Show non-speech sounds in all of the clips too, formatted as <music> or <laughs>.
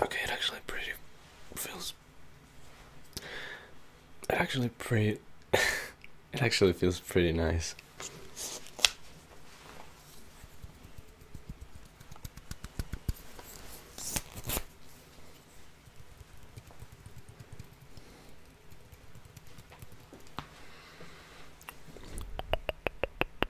Okay, it actually pretty feels. It actually pretty. <laughs> it actually feels pretty nice.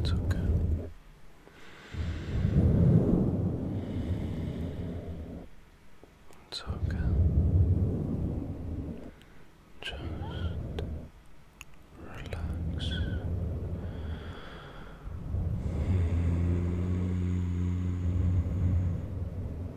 It's okay. It's okay. Just relax.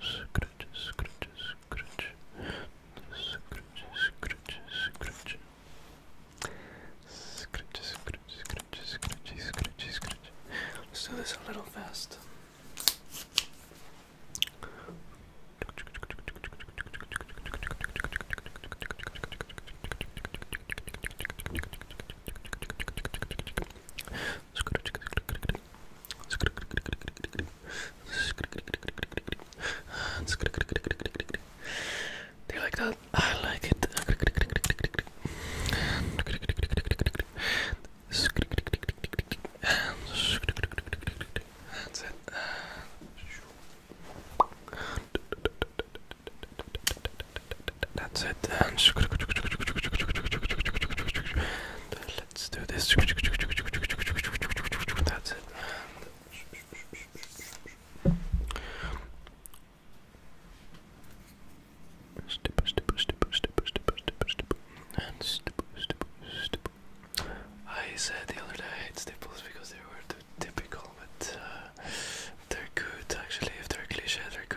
Scratch, scratch, scratch. Scratch, scratch, scratch. Scratch, scratch, scratch, scratch, scratch, scratch. Let's do this a little fast. Do you like that? I like it. That's it. That's it. let's do this. That's it. And step, step, step, step, step, step, and step, step, step. I said the other day I hate staples because they were typical, but uh, they're good actually. If they're cliche, they're good.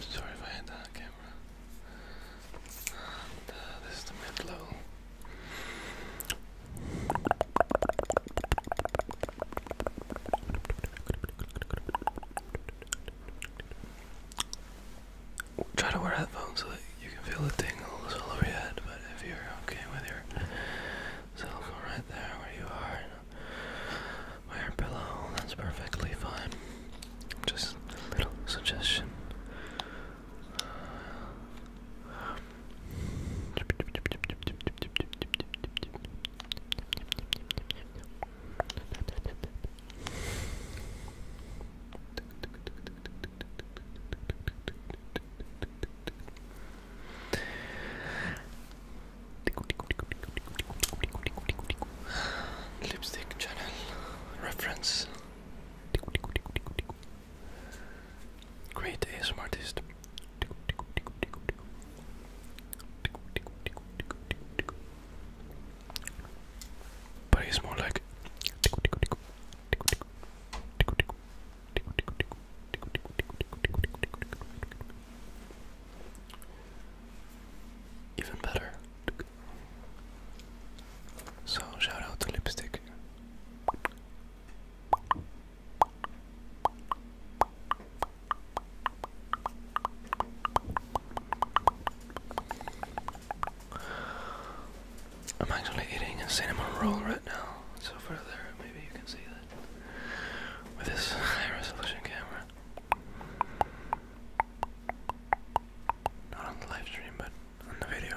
Sorry if I had that camera. And, uh, this is the mid level. Try to wear headphones so that you can feel the tingles all over your head, but if you're okay with your cell right there where you are, by your pillow, that's perfectly fine. Just a little suggestion. Lipstick channel reference. Great artist. But he's more like. Even better. So, shout out to Lipstick. I'm actually eating a cinnamon roll right now, so further maybe you can see that with this <laughs> high resolution camera. Not on the live stream, but on the video.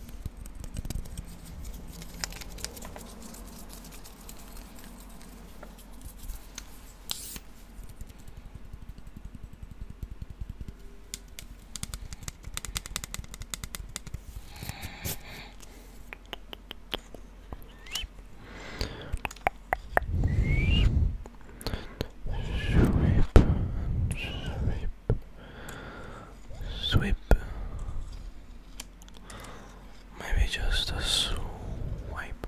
Sweep, sweep, sweep. Maybe just a swipe,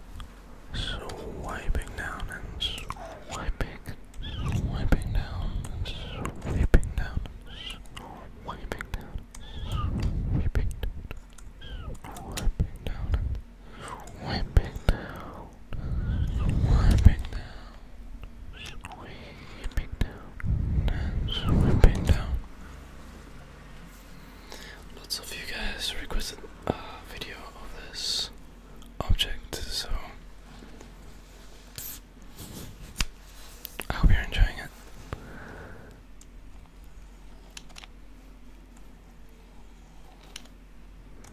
swiping down and swiping, swiping down swiping down, swiping down, swiping down, swiping down, swiping down down, down, sweeping down, and down. Lots of you guys requested a video of this object, so I hope you're enjoying it.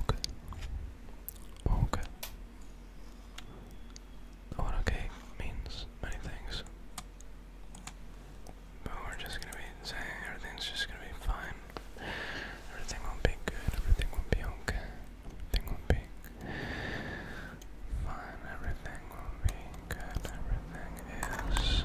Okay. Oh, okay. Oh, okay means many things. But we're just gonna be saying everything's just gonna be fine. Everything will be good, everything will be okay. Everything will be fine, everything will be good, everything is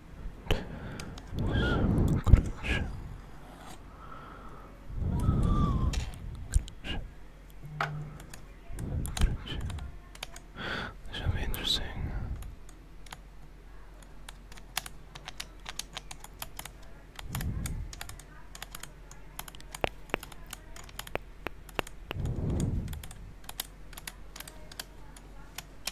This will be interesting.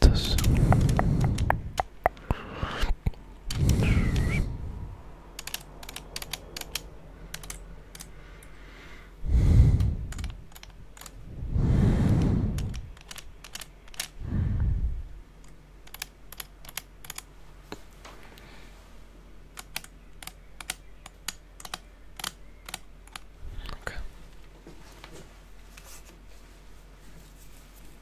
this Okay.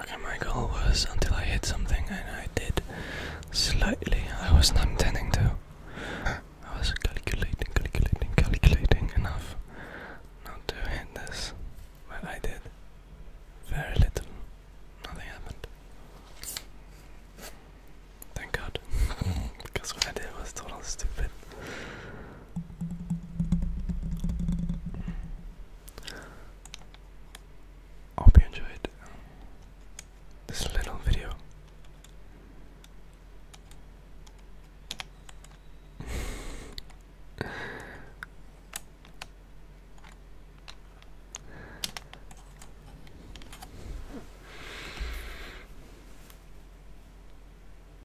Okay, my goal was until I hit something, and I did slightly. I was not intending to. I was calculating, calculating, calculating enough not to hit this, Well, I did. Very little. Nothing happened. Thank God. <laughs> because what I did was totally stupid. I hope you enjoyed this little video.